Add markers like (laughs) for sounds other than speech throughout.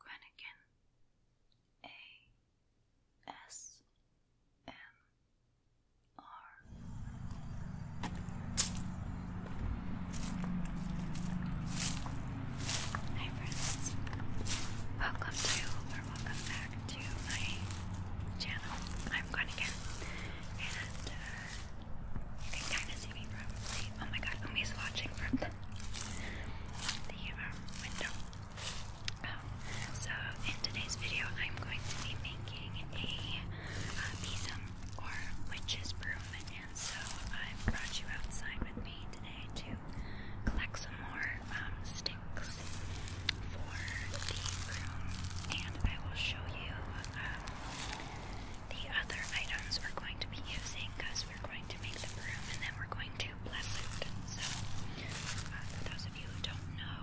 Quennigan, A. S. M. R. Hi friends, welcome to or welcome back to my channel. I'm Quennigan, and uh, you can kind of see me probably Oh my god, Umi's watching from the, um, window. Um, so, in today's video, I'm going to be making a besom uh, or witch's broom, and so I've brought you outside with me today to collect some more um, sticks for the broom, and I will show you um, the other items we're going to be using because we're going to make the broom and then we're going to bless it. So, uh, for those of you who don't know,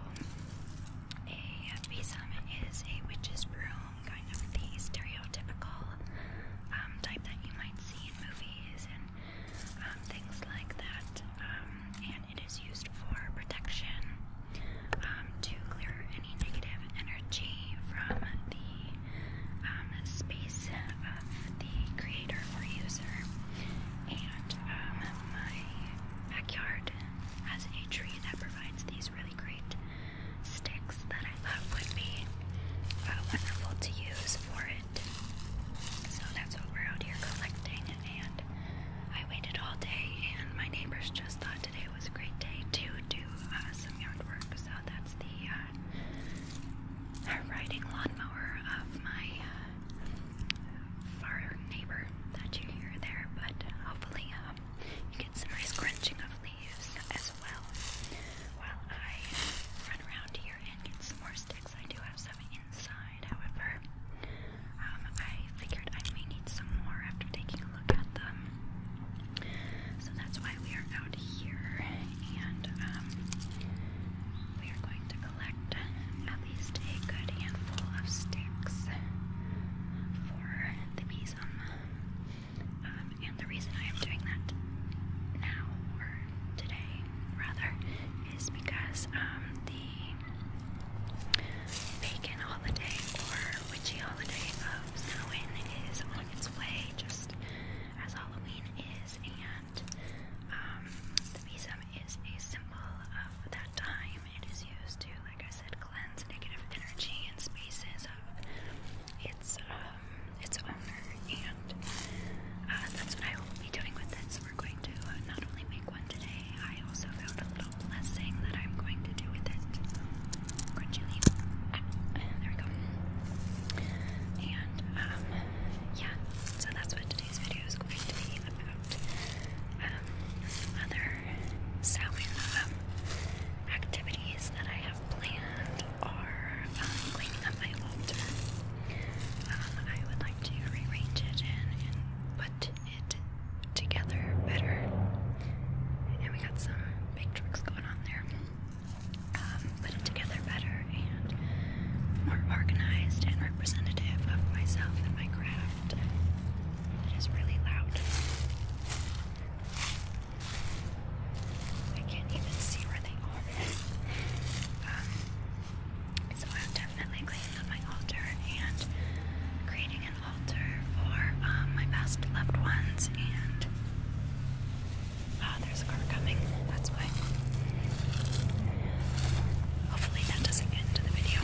a besom is a witch's broom, kind of the stereotypical um, type that you might see in movies and um, things like that. Um, and it is used for protection to clear any negative energy from the um, space of the creator or user. And um, my backyard has a tree that provides these really great sticks that I thought would be uh, wonderful to use for it. So that's what we're out here collecting. And I waited all day, and my neighbors just thought today was a great day to do uh, some yard work. So that's the uh, a riding lawnmower of my uh, far neighbor that you hear there, but hopefully um, you get some nice crunching of leaves as well. While I run around here and get some more sticks, I do have some inside, however. Um, I figured I may need some more after taking a look at them. So that's why we are out here, and um, we are going to collect at least a good handful of sticks for the besom. Um, and the reason I am doing that now, or today rather, is because um, the pagan holiday or witchy holiday of Samhain is on its way, just as Halloween and um, the besom is a symbol of that time. It is used to, like I said, cleanse negative energy and spaces of its um, its owner, and uh, that's what I will be doing with it. So we're going to uh, not only make one today, I also found a little blessing that I'm going to do with it. Crunchy leaf. there we go. And um, yeah, so that's what today's video is going to be about. Um, other sewing um, activities that I have planned are cleaning up my altar. I would like to rearrange it and, put it together better. And we got some big trucks going on there um, put it together better and more organized and representative of myself and my craft. It is really loud. I can't even see where they are. Um, so I'm definitely cleaning up my altar and creating an altar for um, my best loved ones and Ah, there's a car coming. That's why. Hopefully that doesn't get into the video.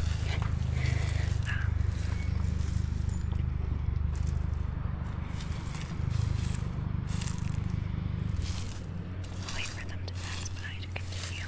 Um, wait for them to pass by to continue.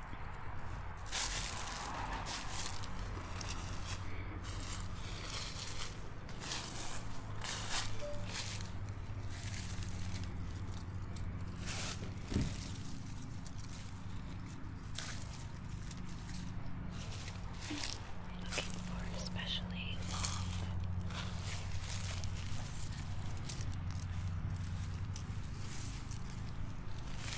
Looking for especially long.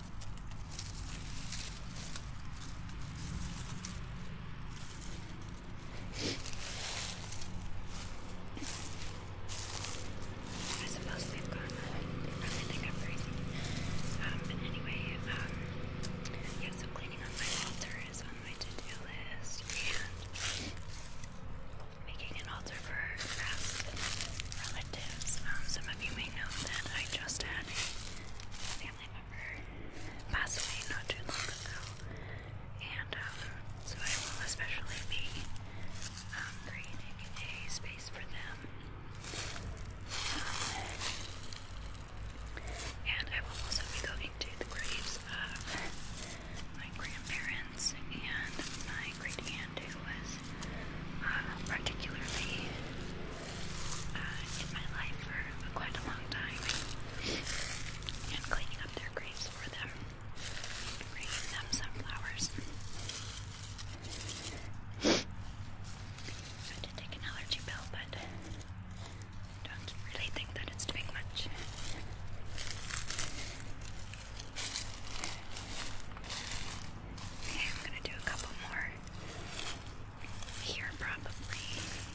I suppose they've gone everything I've Um, anyway, um, yeah, so cleaning up my altar is on my to-do list, and making an altar for past relatives. Um, some of you may know that I just had family member passed away not too long ago, and um, so I will especially be um, creating a space for them. and I will also be going to the graves of my grandparents and my great aunt who was uh, particularly uh, in my life for quite a long time and cleaning up their graves for them, bringing them some flowers. (laughs) I did take an allergy pill, but don't really think that it's doing much. I'm gonna do a couple more here probably,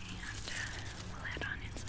and uh, we'll head on inside.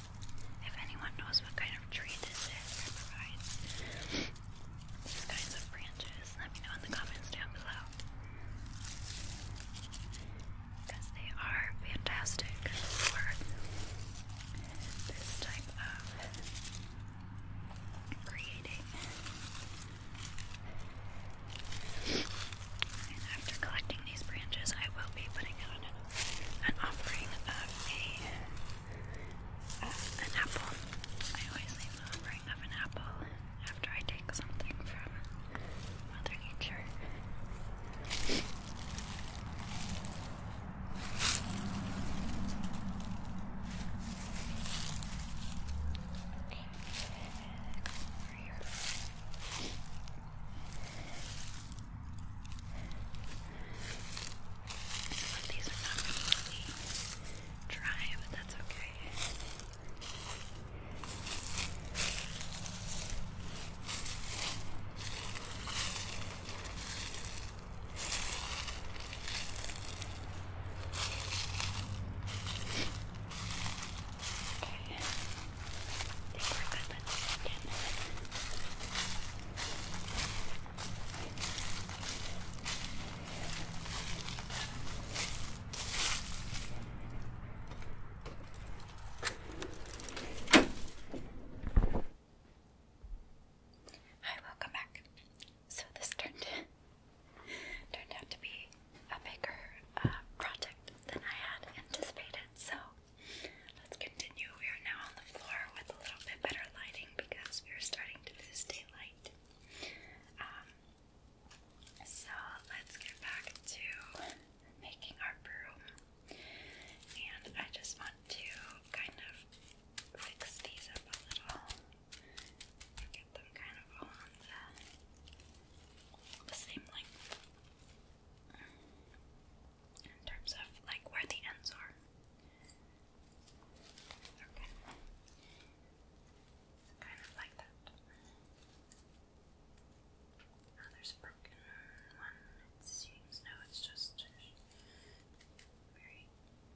If anyone knows what kind of tree this is these kinds of branches, let me know in the comments down below. Because they are fantastic for this type of creating. And after collecting these branches, I will be putting out an, an offering of a uh, an apple. I always leave the offering of an apple after I take something from Mother Nature. Okay. here. Some of these are not really dry, but that's okay. Okay. I think we're good with the chicken. Hi, welcome back. So this turned turned out to be a bigger uh, project than I had anticipated. So Let's continue. We are now on the floor with a little bit better lighting because we are starting to lose daylight. Um, so let's get back to making our broom. And I just want to kind of fix these up a little. Get them kind of all on the same length in terms of like where the ends are. Okay. kind of like that. Oh, there's a broken one. It seems no, it's just very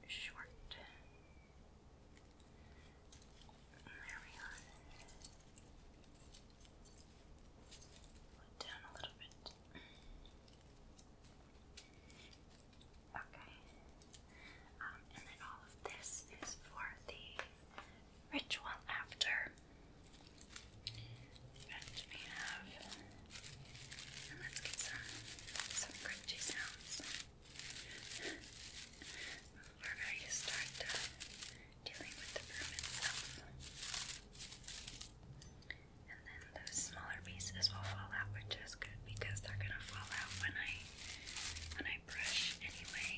short. There we are. Put down a little bit. Okay. Um, and then all of this is for the ritual after. let's get some some crunchy sounds. We're start uh, dealing with the room itself and then those smaller pieces will fall out, which is good because they're gonna fall out when I when I brush anyway.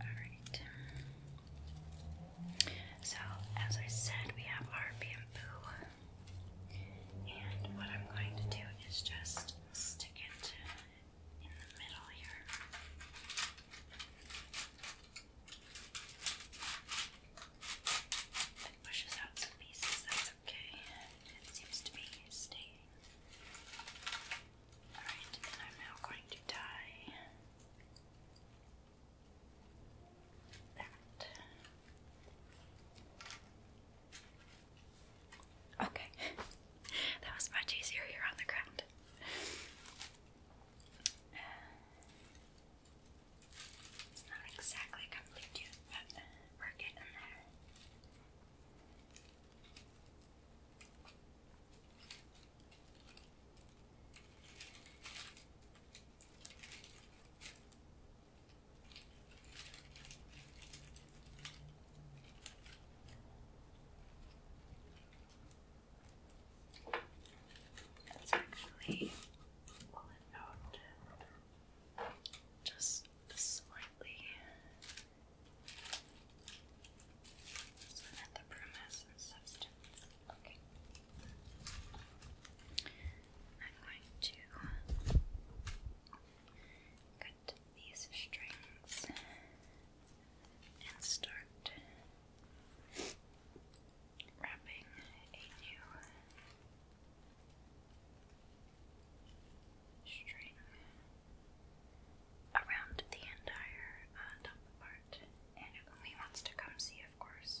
Alright. So as I said we have our bamboo and what I'm going to do is just stick it in the middle here. It pushes out some pieces, that's okay. It seems to be staying. Alright, I'm now going to tie that. Okay, (laughs) that was much easier here on the ground. it's not exactly complete yet, but we're getting there. It's actually, well, out just slightly. So that the premise and substance. Okay. I'm going to these strings and start wrapping a new string around the entire uh, top part. And it wants to come see, of course.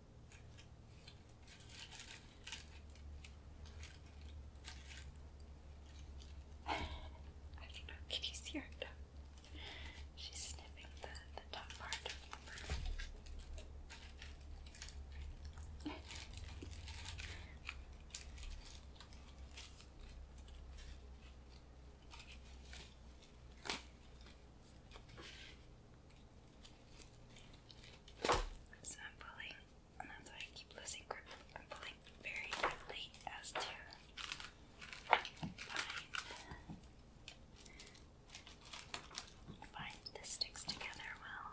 I do can you see her? She's sniffing the, the top part so I'm pulling, and that's why I keep losing grip. I'm pulling very quickly as to find, find the sticks together well.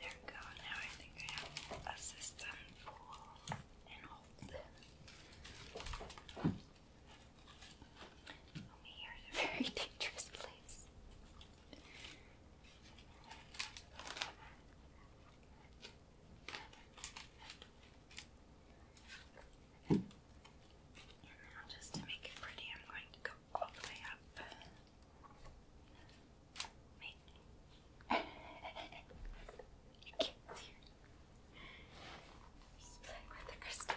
There we go, now I think I have a system full over here is a very dangerous place. And now, just to make it pretty, I'm going to go all the way up you can't see her. She's playing with the crystal.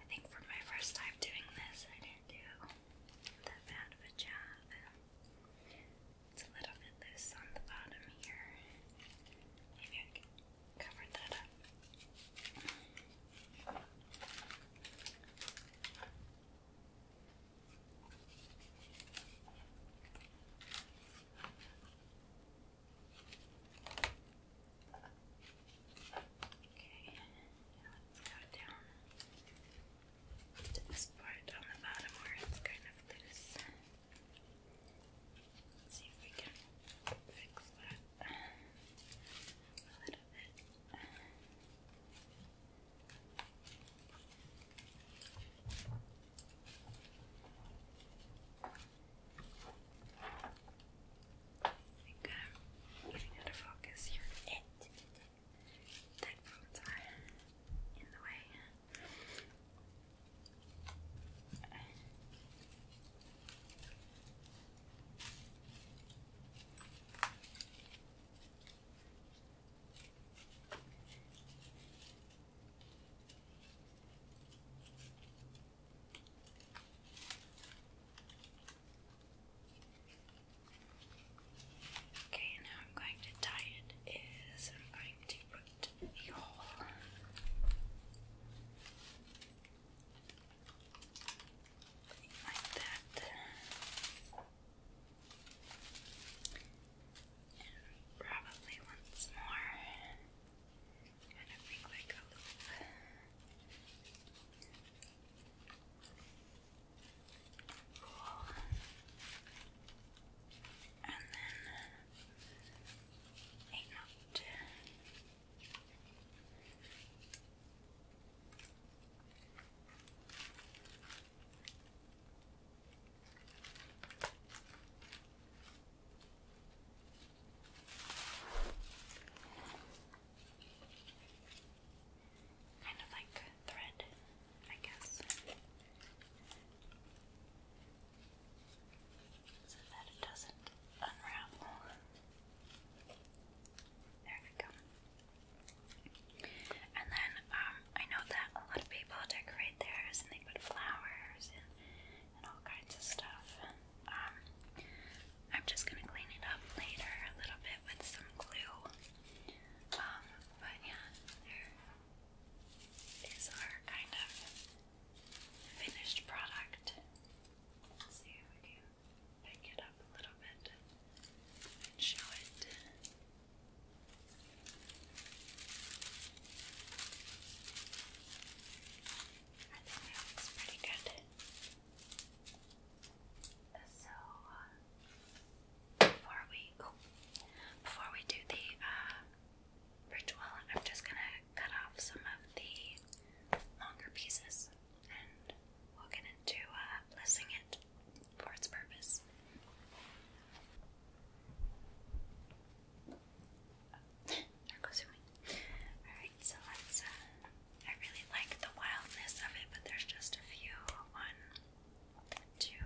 I think for my first time doing this, I didn't do that bad of a job. It's a little bit loose on the bottom here. Maybe I can cover that up. Okay, now let's go down to this part on the bottom where it's kind of loose. see if we can fix that a little bit. I think getting out of focus here. It, are in the way. Okay, and I'm going to tie it is I'm going to put the hole like that and probably once more kind of make like a loop Cool. And then a note. Kind of like thread, I guess. So that it doesn't unravel. There we go. And then um, I know that a lot of people decorate theirs and they put flowers and, all kinds of stuff. Um, I'm just gonna clean it up later a little bit with some glue. Um, but yeah, there is our kind of finished product. see if we can pick it up a little bit and show it. I think that looks pretty good. So uh, before we oh, before we do the uh, ritual, I'm just gonna cut off some of the longer pieces, and we'll get into uh, blessing it for its purpose. there goes your so uh, I really like the wildness of it, but there's just a few. One, two,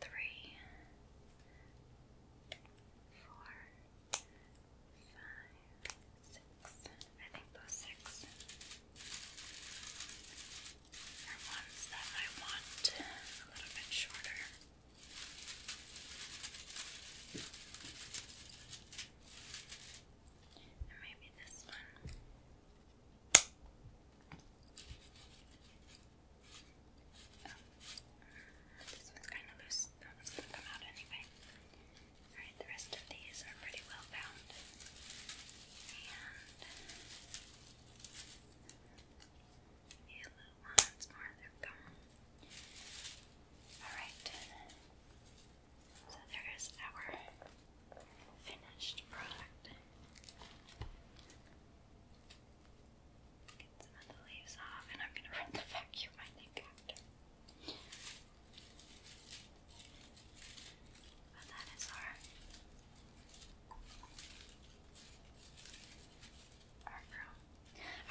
three, four, five, six. I think those six are ones that I want a little bit shorter. And maybe this one. Oh. this one's kind of loose. That one's going to come out anyway. Alright, the rest of these are pretty well bound. And the yellow ones are they gone. Alright. So there is our finished product. Get some of the leaves off, and I'm going to run the vacuum, I after. But that is our, our room.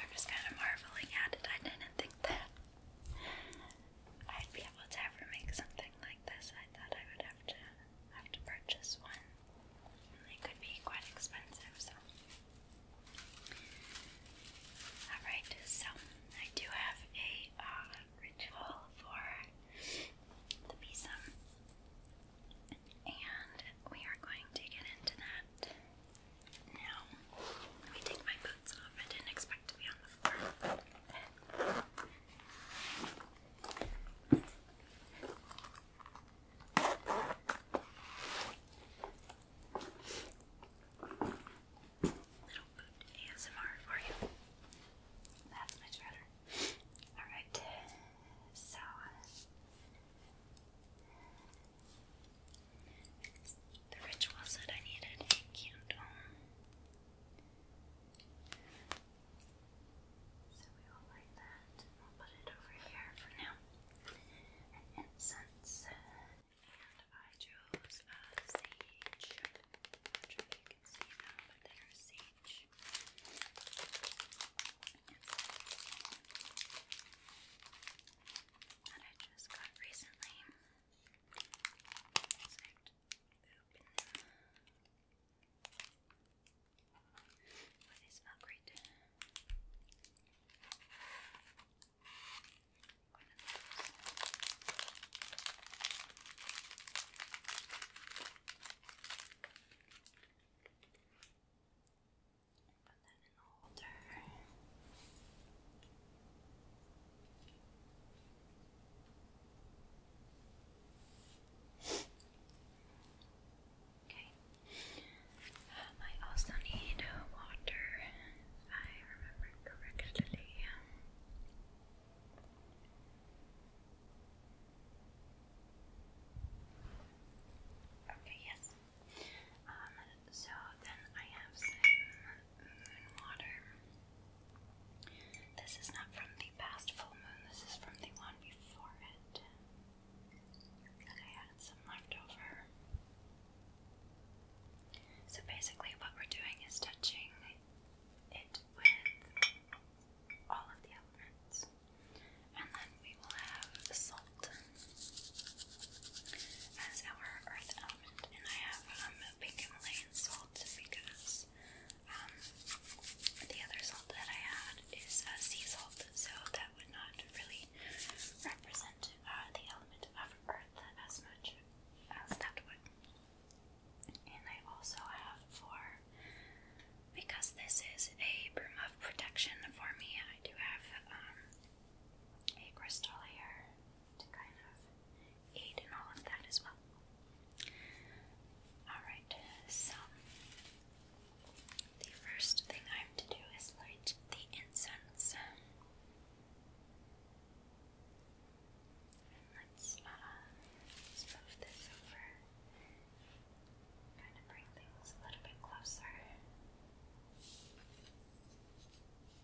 I'm just kind of marveling at it. I didn't think that I'd be able to ever make something like this. I thought I would have to have to purchase one. And they could be quite expensive, so alright, so I do have a uh, ritual for the besom. And we are going to get into that now, let me take my boots off. I didn't expect to be on the floor. Little boot ASMR for you. That's much better. Alright, so the ritual said I needed a candle. So we will light that and will put it over here for now. incense. And I chose a sage. I'm sure you can see now, but they sage. That I just got recently. Let's open them. Oh, they smell great. One of those. Put that Okay. Um, I also need water. I remember correctly. Okay, yes. Um, so then I have some moon water. This is not from the past full moon, this is from the one before it. And I added some left over. So basically, what we're doing is touching it with all of the elements, and then we will have as our earth element, and I have um, pink Himalayan salt because um, the other salt that I had is uh, sea salt, so that would not really represent uh, the element of earth as much as that would. And I also have for because this is a broom of protection for me, I do have um, a crystal here to kind of aid in all of that as well. Alright, so the first thing I have to do is light the incense. let's uh, move this over. Kind of bring things a little bit closer.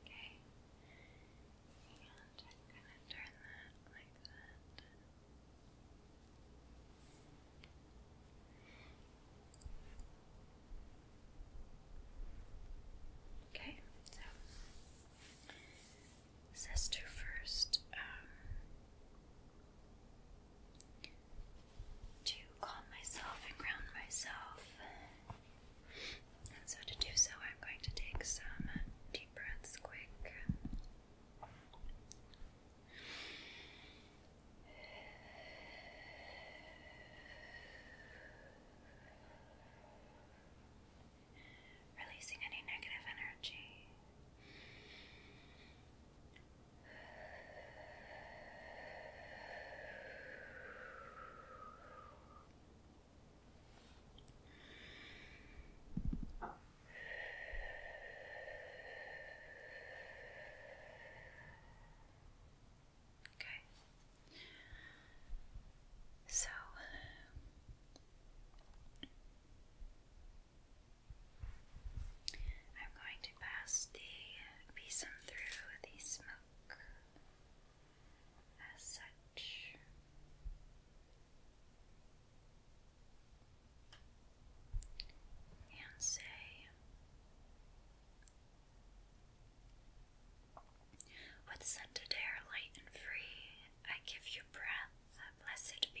Okay, and I'm gonna turn that like that. Okay, so sister first um, to calm myself and ground myself. And so, to do so, I'm going to take some deep breaths quick releasing any negative energy. Okay. So I'm going to pass the besom through the smoke as such. And say, with scented air light and free, I give you breath, blessed be.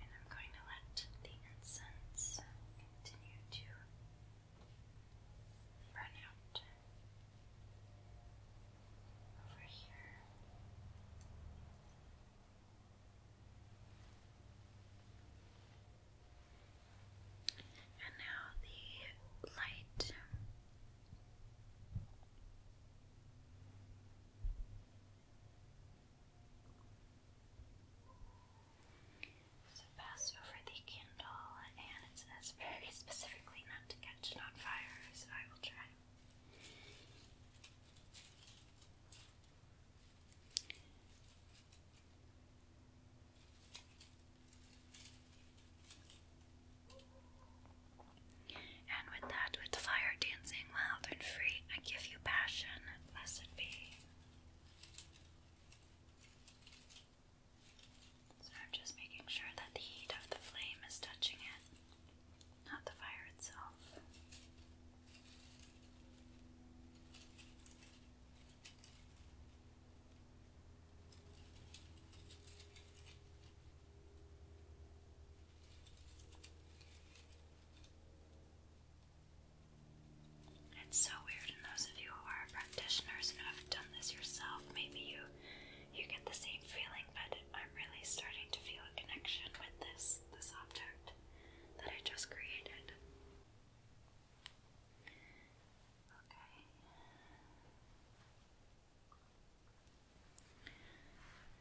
And I'm going to let the incense continue to run out over here. And now the light so pass over the candle, and it says very (laughs) specifically not to catch it on fire, so I will try. And with that, with the fire dancing wild and free, I give you passion, blessed be. So I'm just making sure that the heat of the flame is touching it, not the fire itself. It's so weird, and those of you who are practitioners and have done this yourself, maybe you you get the same feeling, but I'm really starting to feel a connection with this this object that I just created. Okay.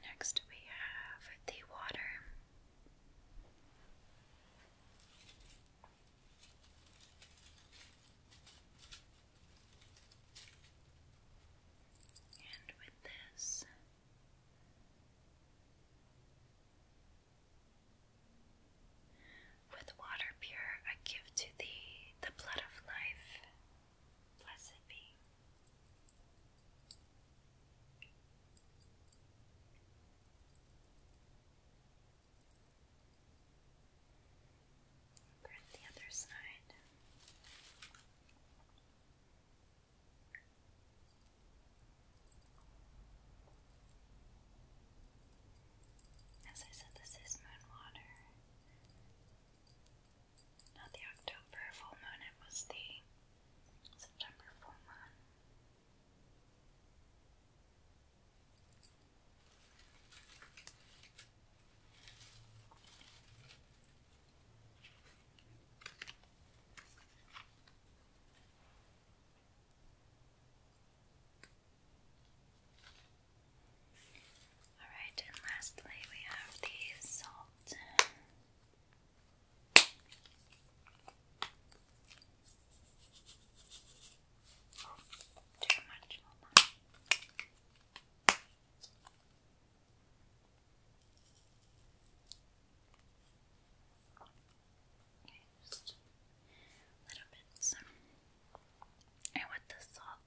Next, we have the water. And with this, with water pure I give to thee the blood of life. Blessed be. Over the other side. As I said, this is moon water. Not the October full moon, it was the September full moon. Alright, and lastly, we have the salt. too much, little bit and with the salt,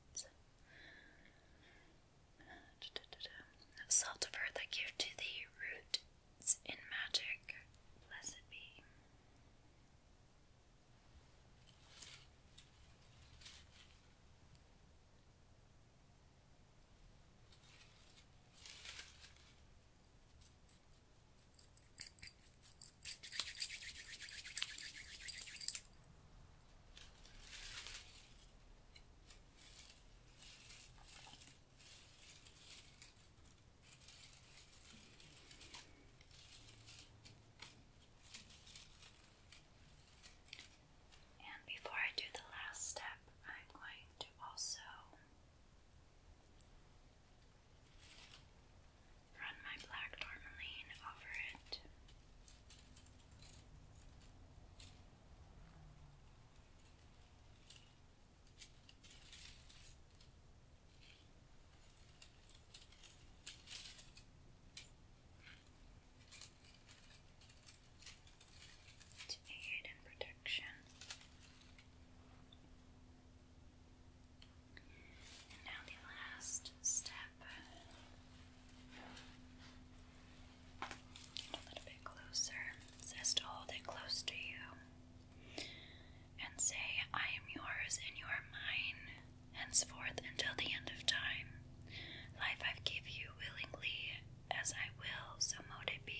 salt of earth I give to thee, roots in magic, blessed be. And before I do the last step, I'm going to also run my black tourmaline over it. To aid in protection. And now the last step. a little bit closer. It hold it close to you and say, I am yours and you are mine, henceforth until the end of time. Life I give you willingly as I will, so mote it be.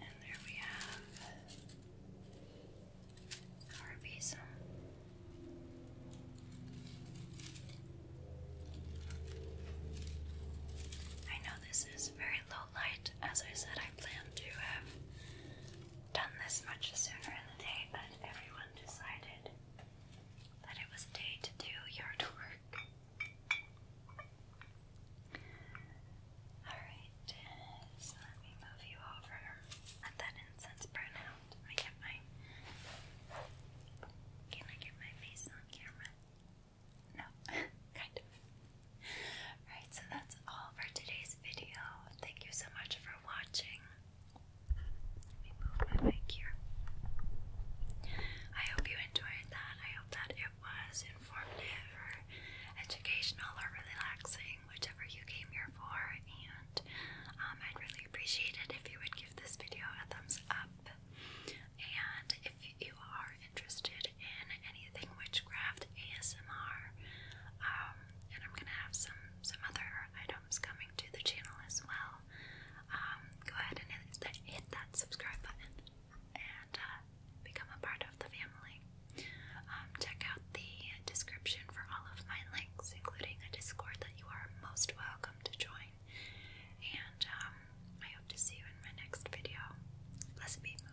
And there we have our basil. I know this is very low light, as I said, I plan to have done this much sooner in the day, but everyone decided that it was day to do yard work. Alright, let me move you over. Let that incense burn out. Did I get my Can I get my face on camera? No, (laughs) kind of. Alright, so that's all for today's video. Thank you so much for watching. Let me move my mic here. I hope you enjoyed that. I hope that it was informative or educational or relaxing, whichever you came here for. And um, I'd really appreciate it if you would give this video a thumbs up. And if you are interested in anything witchcraft ASMR, um, and I'm gonna have some some other items coming to the channel as well, um, go ahead and hit that, subscribe button and uh, become a part of the family. Um, check out the description for all of my links, including a Discord that you are most welcome to join. And um, I hope to see you in my next video. Blessed be Moon